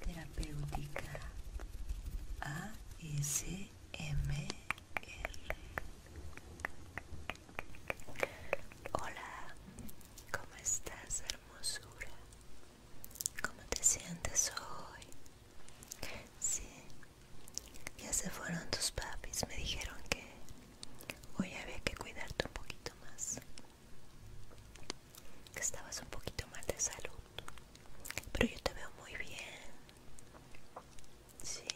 terapéutica ASMR. Hola, ¿cómo estás, hermosura? ¿Cómo te sientes hoy? Sí, ya se fueron tus papis, me dijeron que hoy había que cuidarte un poquito más. Que estabas un poquito mal de salud. Pero yo te veo muy bien. Sí.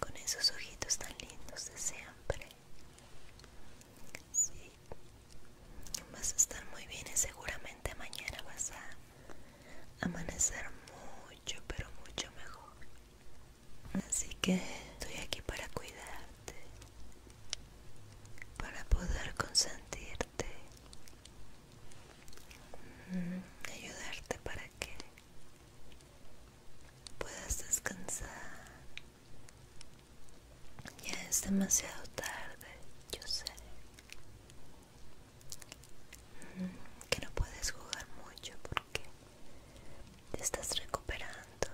Con esos ojitos tan lindos de siempre. Sí. Vas a estar muy bien y seguramente mañana vas a amanecer mucho, pero mucho mejor. Así que estoy aquí para cuidarte, para poder consentirte, mm, ayudarte para que puedas descansar. Ya es demasiado tarde, yo sé mm, que no puedes jugar mucho porque te estás recuperando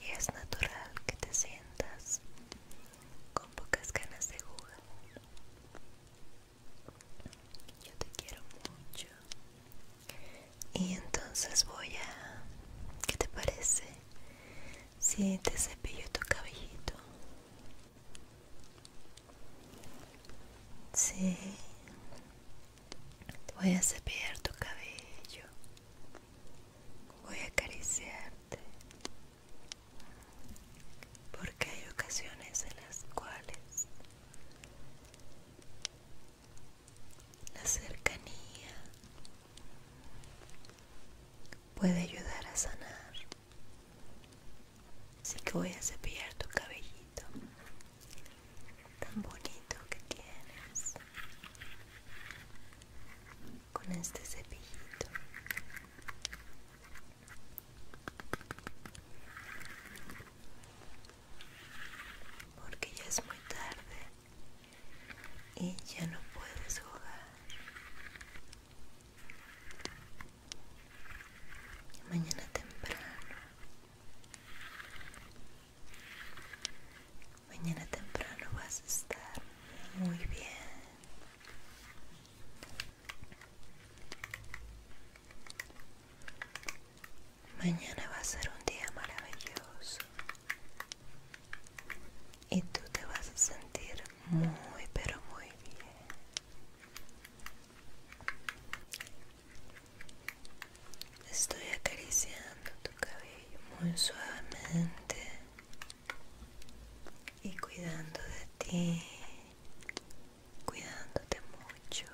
y es natural que te sientas con pocas ganas de jugar. Yo te quiero mucho. Y entonces voy a... ¿Qué te parece? Si te cepillo tu cabellito. Sí. Voy a cepillar tu cabello. Voy a acariciarte. Porque hay ocasiones en las cuales la cercanía puede ayudar a sanar. Así que voy a cepillar tu cabellito tan bonito que tienes con este cepillito. Porque ya es muy tarde y ya no puedes jugar mañana temprano mañana temprano vas a estar muy bien mañana va a ser un día maravilloso y tú te vas a sentir muy pero muy bien Estoy acariciando tu cabello muy suavemente y cuidando de ti, cuidándote mucho,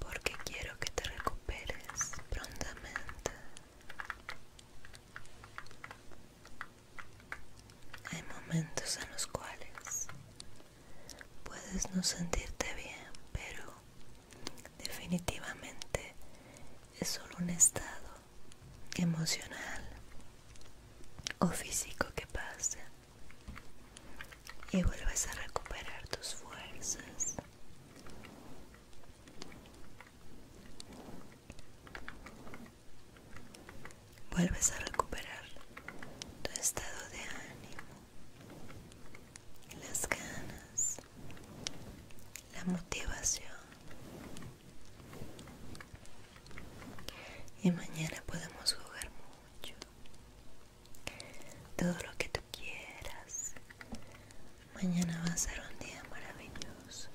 porque quiero que te recuperes prontamente. Hay momentos en los cuales puedes no sentirte bien, pero definitivamente es solo un estado emocional o físico que pasa y vuelves a recuperar tus fuerzas. Vuelves a recuperar tu estado de ánimo, las ganas, la motivación. Y mañana podemos jugar mucho. Todo lo que tú quieras. Mañana va a ser un día maravilloso.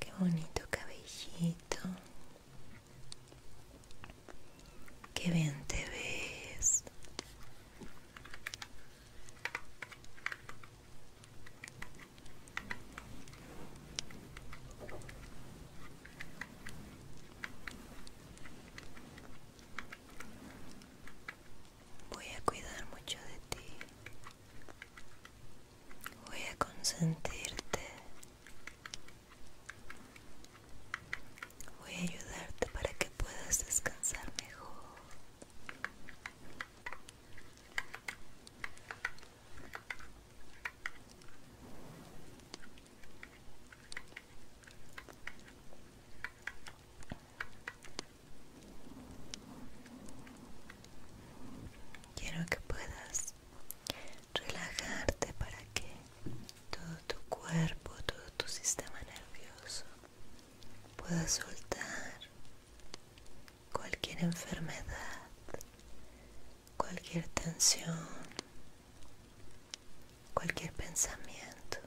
Qué bonito cabellito. Qué bien te ves. Voy a cuidar mucho de ti. Voy a consentirte. Voy a ayudarte para que puedas descansar mejor. Quiero que puedas relajarte para que todo tu cuerpo, todo tu sistema nervioso pueda soltar cualquier enfermedad, cualquier tensión, cualquier pensamiento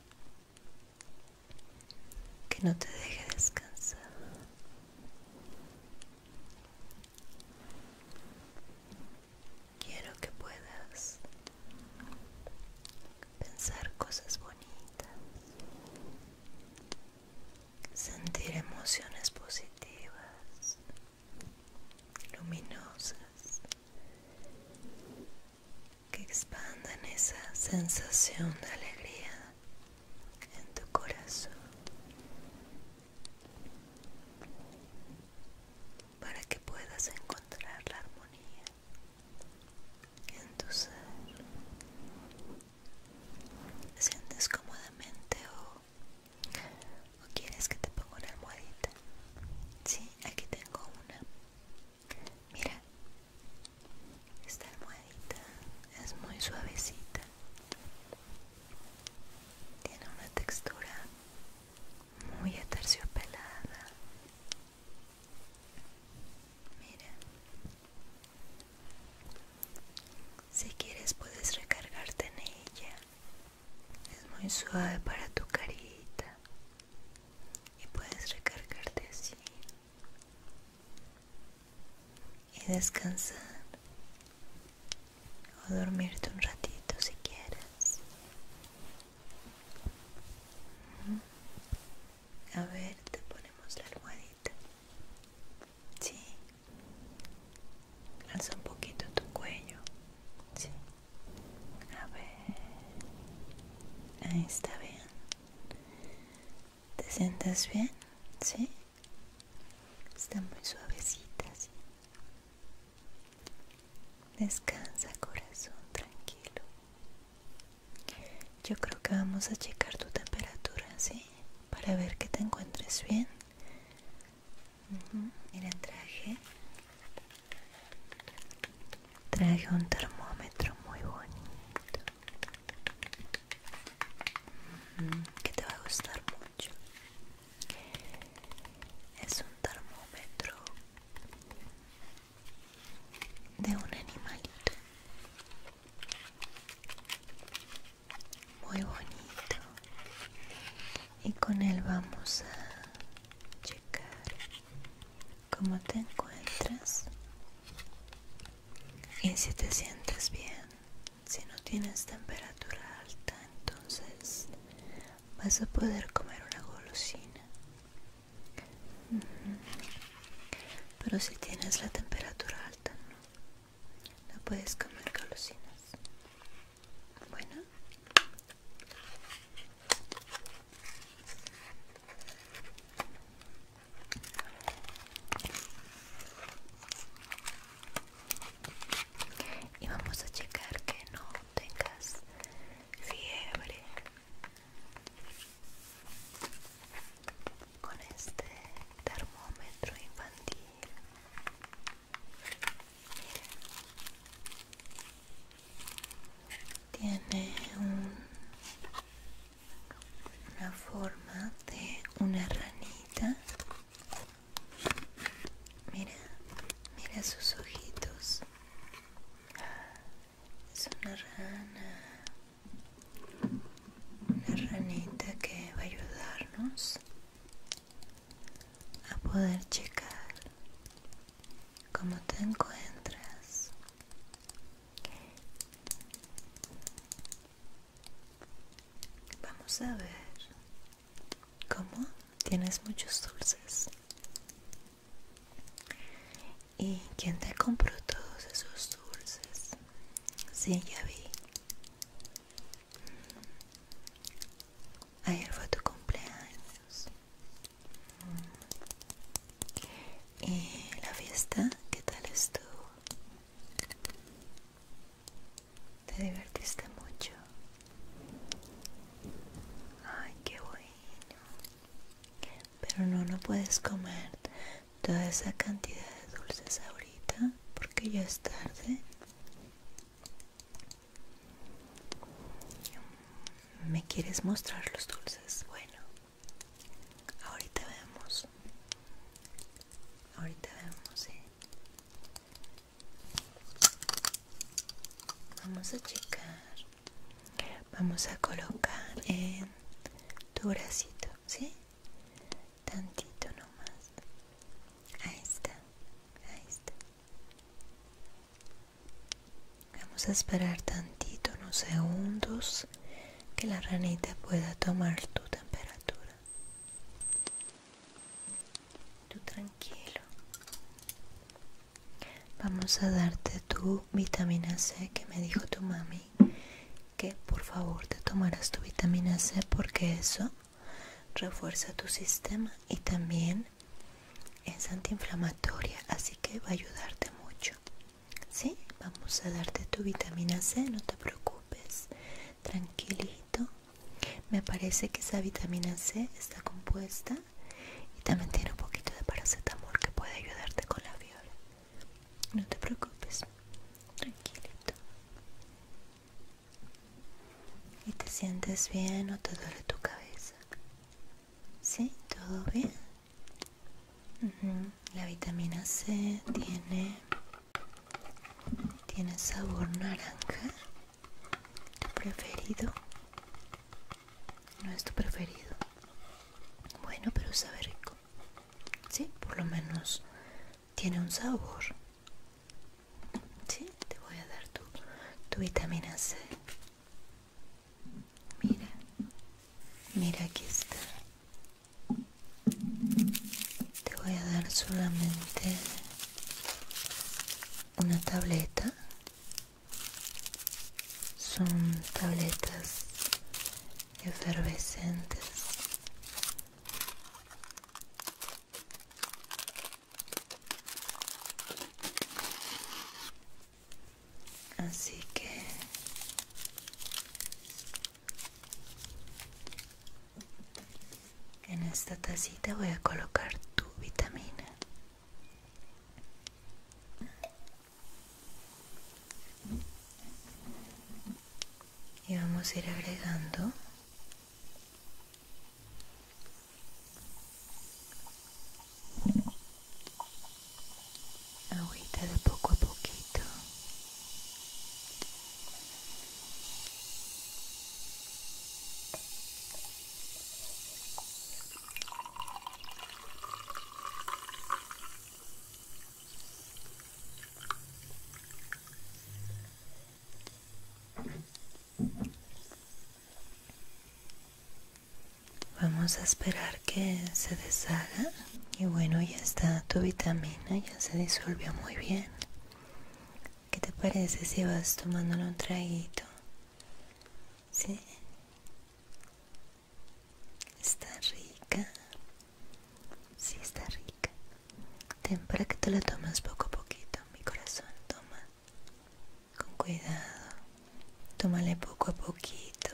que no te deje descansar. Quiero que puedas pensar cosas bonitas, sentir emociones positivas luminosas que expandan esa sensación de alegría en tu corazón para que puedas encontrar la armonía en tu ser. Te sientes cómodamente o ¿O quieres que te ponga una almohadita? Sí, aquí tengo una. Mira, esta almohadita es muy suavecita. Tiene una textura muy aterciopelada. Mira. Si quieres puedes recargarte en ella es muy suave para tu carita y puedes recargarte así y descansar o dormirte un ratito si quieres a ver te ponemos la almohadita sí alza un poquito tu cuello sí a ver, ahí está bien. ¿Te sientes bien? ¿Sí? Está muy suavecita, sí. Descansa, corazón, tranquilo. Yo creo que vamos a checar tu temperatura, ¿sí? Para ver que te encuentres bien y traje traje un termómetro muy bonito que te va a gustar mucho es un termómetro de un animalito muy bonito y con él vamos a checar cómo te encuentras y si te sientes bien si no tienes temperatura alta entonces vas a poder comer una golosina pero si tienes la temperatura alta no no puedes comer golosinas bueno. Y vamos a checar que no tengas fiebre con este termómetro infantil tiene una forma de una ranita mira mira sus ojitos es una rana una ranita que va a ayudarnos a poder checar cómo te encuentras vamos a ver cómo tienes muchos dulces y quién te compró todos esos dulces si ya vi ayer fue tu cumpleaños y la fiesta qué tal estuvo te divertiste mucho ay qué bueno pero no no puedes comer toda esa cantidad de dulces ahorita porque ya es tarde ¿Me quieres mostrar los dulces? Bueno, ahorita vemos. Ahorita vemos, ¿eh? Vamos a checar. Vamos a colocar en tu bracito, ¿sí? Tantito nomás. Ahí está, ahí está. Vamos a esperar tantito, unos segundos, que la ranita pueda tomar tu temperatura. Tú tranquilo. Vamos a darte tu vitamina C que me dijo tu mami que por favor te tomaras tu vitamina C porque eso refuerza tu sistema y también es antiinflamatoria, así que va a ayudarte mucho. ¿Sí? Vamos a darte tu vitamina C, no te preocupes, tranquilito. Me parece que esa vitamina C está compuesta y también tiene un poquito de paracetamol que puede ayudarte con la fiebre. No te preocupes, tranquilito. ¿Y te sientes bien o te duele tu cabeza? Sí, todo bien. La vitamina C tiene, tiene sabor naranja. ¿Tu preferido? No es tu preferido. Bueno, pero sabe rico. Sí, por lo menos tiene un sabor. Sí, te voy a dar tu, tu vitamina C. Mira, mira aquí está. Te voy a dar solamente una tableta. Son tabletas efervescentes Así que en esta tacita voy a colocar tu vitamina. Y vamos a ir agregando Agüita de poco a poquito. Vamos a esperar que se deshaga. Y bueno, ya está tu vitamina, ya se disolvió muy bien. ¿Qué te parece si vas tomándolo un traguito? ¿Sí? Está rica. Sí, está rica. Ten que te la tomas poco a poquito, mi corazón. Toma con cuidado, tómale poco a poquito.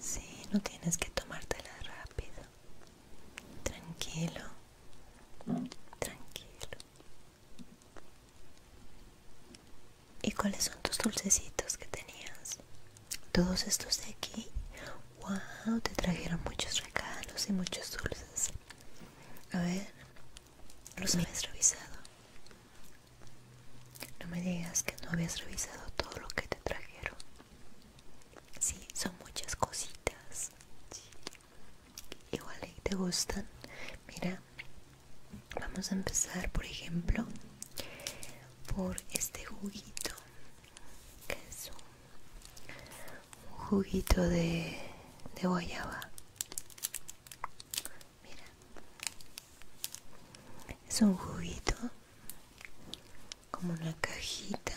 Sí, no tienes que tomártela rápido. Tranquilo, tranquilo. ¿Y cuáles son tus dulcecitos que tenías? Todos estos de aquí. Wow, te trajeron muchos regalos y muchos dulces. A ver, los habías revisado. No me digas que no habías revisado todo lo que te trajeron. Sí, son muchas cositas. Igual ahí te gustan. Mira, vamos a empezar, por ejemplo, por este juguito que es un un juguito de, de guayaba mira es un juguito como una cajita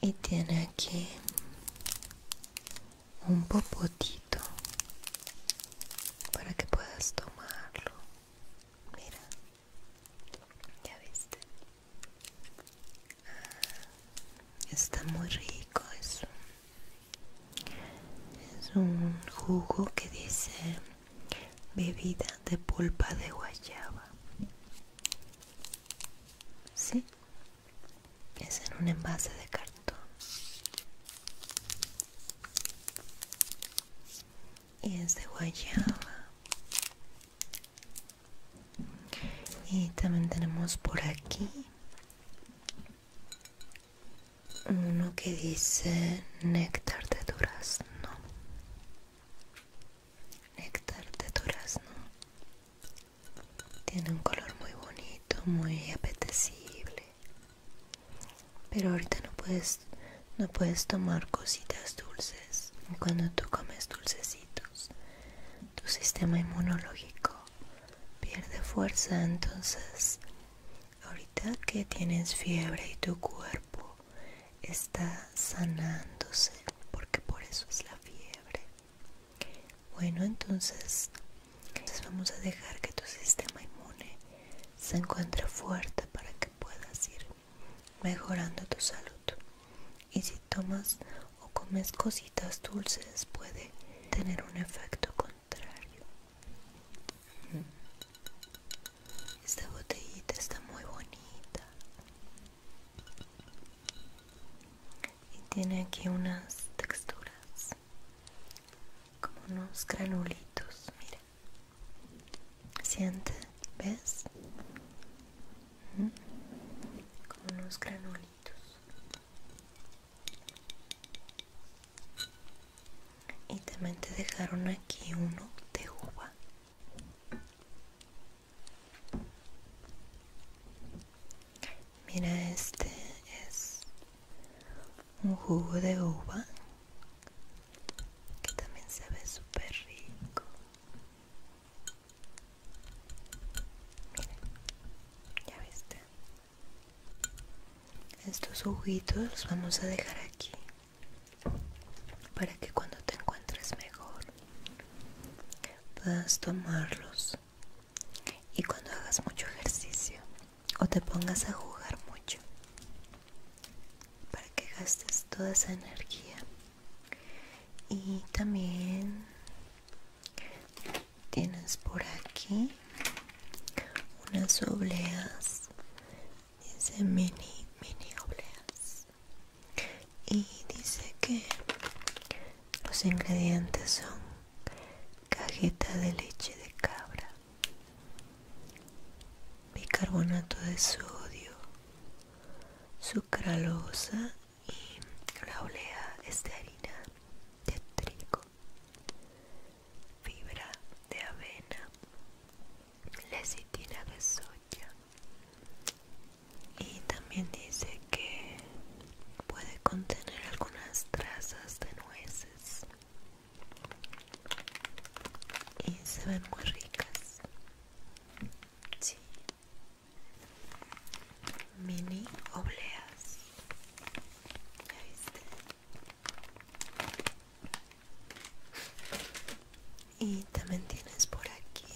y tiene aquí un popotito para que puedas tomarlo mira ya viste Está muy rico, es un, jugo que dice bebida de pulpa de guayaba. Sí, es en un envase de cartón. Y es de guayaba y también tenemos por aquí uno que dice néctar de durazno néctar de durazno tiene un color muy bonito muy apetecible pero ahorita no puedes no puedes tomar cositas dulces cuando tú comes dulcecitos tu sistema inmunológico pierde fuerza entonces ahorita que tienes fiebre y tu cuerpo está sanándose porque por eso es la fiebre bueno entonces, les vamos a dejar que tu sistema inmune se encuentre fuerte para que puedas ir mejorando tu salud y si tomas o comes cositas dulces puede tener un efecto contrario. Esta botellita está muy bonita y tiene aquí unas texturas como unos granulitos, mira. Siente, ¿ves? con unos granulitos y también te dejaron aquí uno de uva mira este es un jugo de uva que también se ve súper rico ya viste. Estos ojitos los vamos a dejar aquí para que cuando te encuentres mejor puedas tomarlos y cuando hagas mucho ejercicio o te pongas a jugar mucho para que gastes toda esa energía y también tienes por aquí unas obleas dice mini mini obleas y dice que los ingredientes son cajeta de leche de cabra bicarbonato de sodio sucralosa y la olea es de harina de trigo, fibra de avena, lecitina de soya y también dice que puede contener algunas trazas de nueces y se ven muy ricas. Sí, mini obleas y también tienes por aquí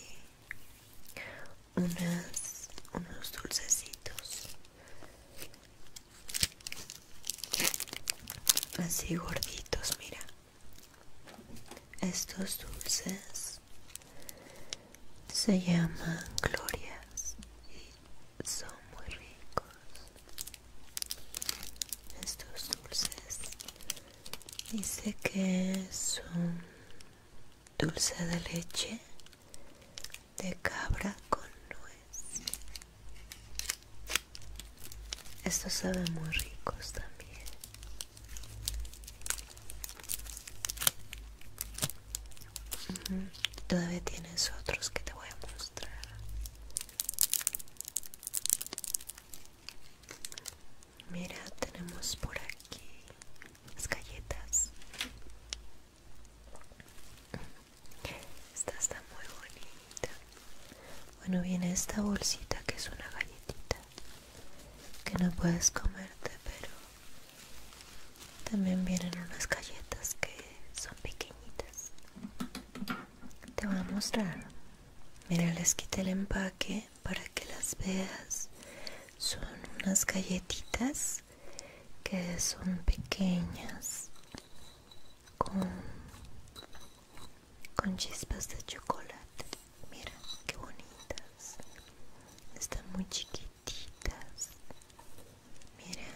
unos dulcecitos así gorditos mira estos dulces se llaman glorias y son muy ricos estos dulces dice que es un dulce de leche de cabra con nuez estos saben muy ricos también Todavía tienes otros que te voy a mostrar. Mira, tenemos por aquí las galletas. Esta está muy bonita. Bueno, viene esta bolsita que es una galletita que no puedes comerte, pero también vienen unas galletas que son pequeñitas. Te voy a mostrar. Mira, les quité el empaque para que las veas. Son unas galletitas que son pequeñas con, con chispas de chocolate. Mira qué bonitas. Están muy chiquititas. Mira.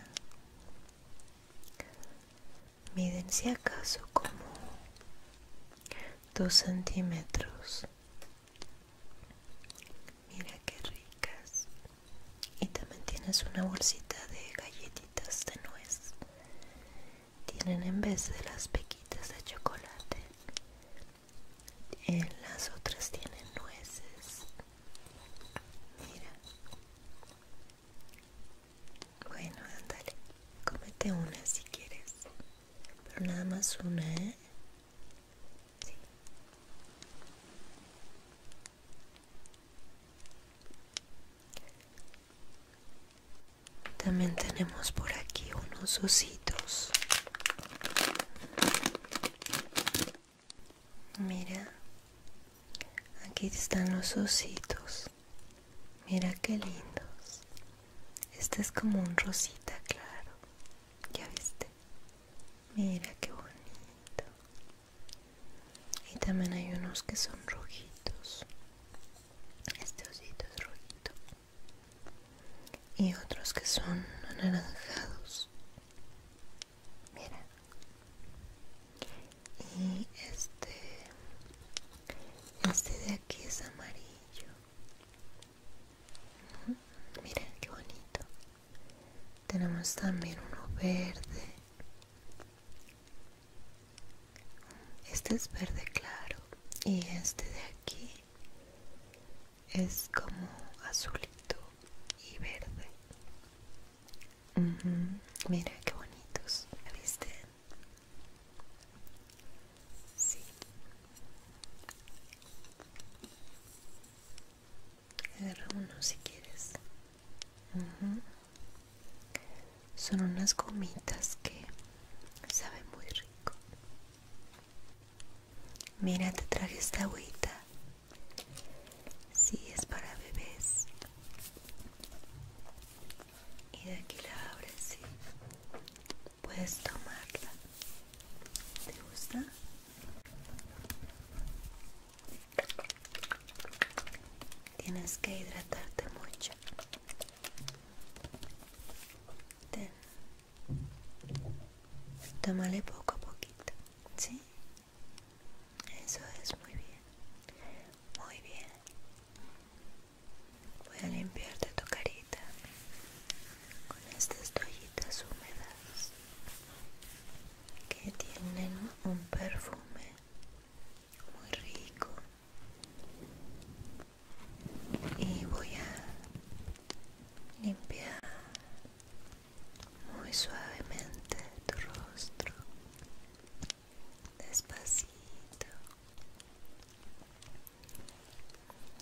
Miden si acaso como dos centímetros. Mira qué ricas. Y también tienes una bolsita de galletitas de nuez. Tienen en vez de las pequitas de chocolate eh, las otras tienen nueces mira bueno andale cómete una si quieres pero nada más una eh también tenemos por aquí unos ositos Mira, aquí están los ositos. Mira qué lindos. Este es como un rosita claro. ¿Ya viste? Mira qué bonito. Y también hay unos que son rojitos. Este osito es rojito y otros que son anaranjados mira y este este de aquí es amarillo mira qué bonito tenemos también uno verde este es verde claro y este de aquí es como azulito y verde. Mira qué bonitos, ¿viste? Sí. Agarra uno si quieres. Son unas gomitas que saben muy rico. Mira, te traje esta agüita. Sí, es para bebés. Y de aquí la abres, sí. Puedes tomarla. ¿Te gusta? Tienes que hidratarte mucho. Ten. Tómale poco a poquito, ¿sí? Eso es muy bien, muy bien. Voy a limpiarte tu carita con estas toallitas húmedas que tienen un perfume muy rico y voy a limpiar muy suavemente tu rostro despacito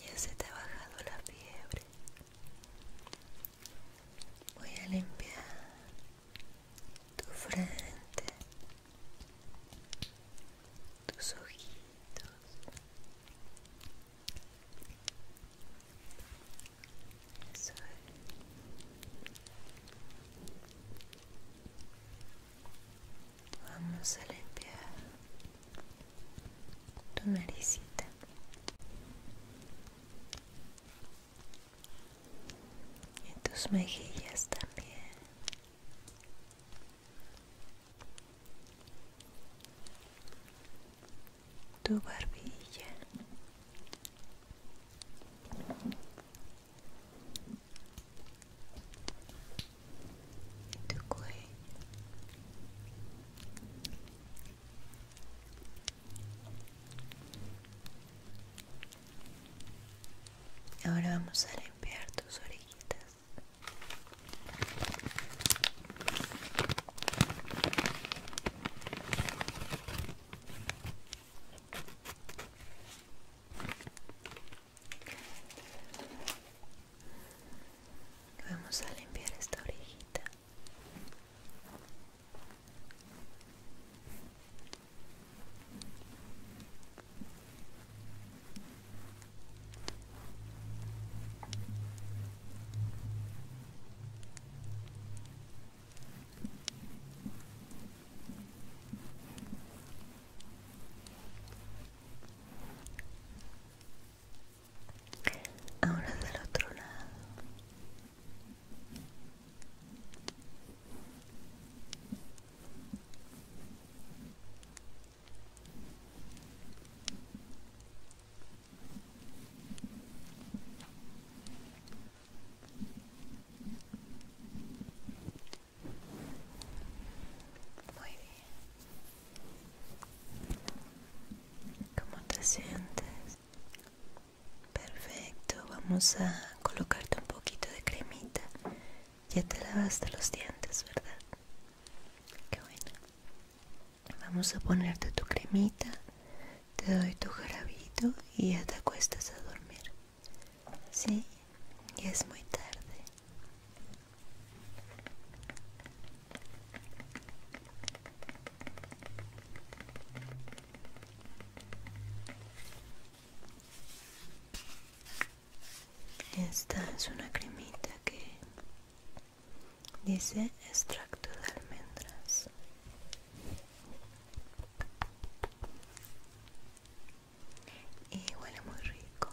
ya se te ha bajado la fiebre voy a limpiar tu frente tus ojitos Vamos a limpiar tu naricita. Y tus mejillas también tu barbilla tu cuello Ahora vamos a limpiar tus orejitas. Vamos a limpiar esta orejita. Ahora del otro lado. Muy bien. ¿Cómo te sientes? Perfecto, vamos a colocarte un poquito de cremita. Ya te lavaste los dientes, ¿verdad? Qué Vamos a ponerte tu cremita, te doy tu jarabito y ya te acuestas a dormir. Sí, Y es muy tarde. Esta es una cremita que dice extracto de almendras. Y huele muy rico.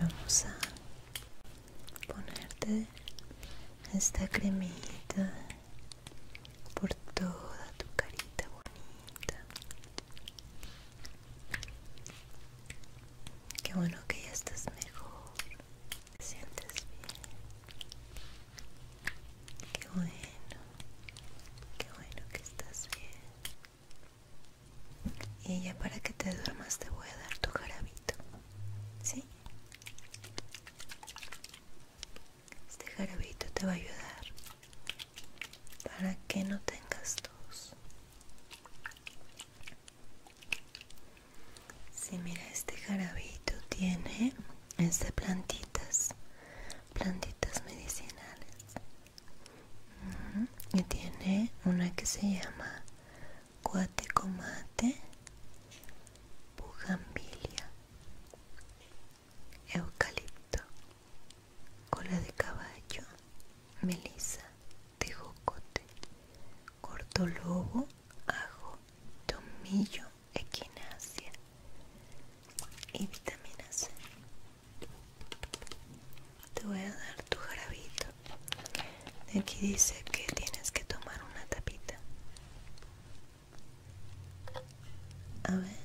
Vamos a ponerte esta cremita por toda tu carita bonita. Qué bueno que ya estás mejor. Te sientes bien. Qué bueno, qué bueno que estás bien. Y ya para que te duermas te voy a dar tu jarabito, ¿sí? Este jarabito te va a ayudar para que no tengas tos si mira, este jarabito tiene, es plantitas, plantitas medicinales. Y tiene una que se llama cuatecomate, bugambilia, eucalipto, cola de caballo, melisa, tejocote, cortolobo, ajo, tomillo, equinacia y vitamina C. Te voy a dar tu jarabito. Aquí dice que tienes que tomar una tapita. A ver.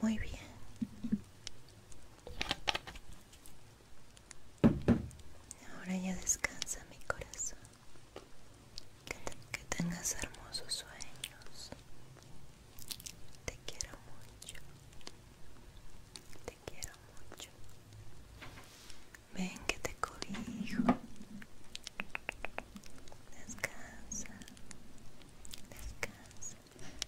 Muy bien. Ahora ya descansa mi corazón. Que, tengas hermosos sueños. Te quiero mucho. Te quiero mucho. Ven que te cobijo. Descansa. Descansa.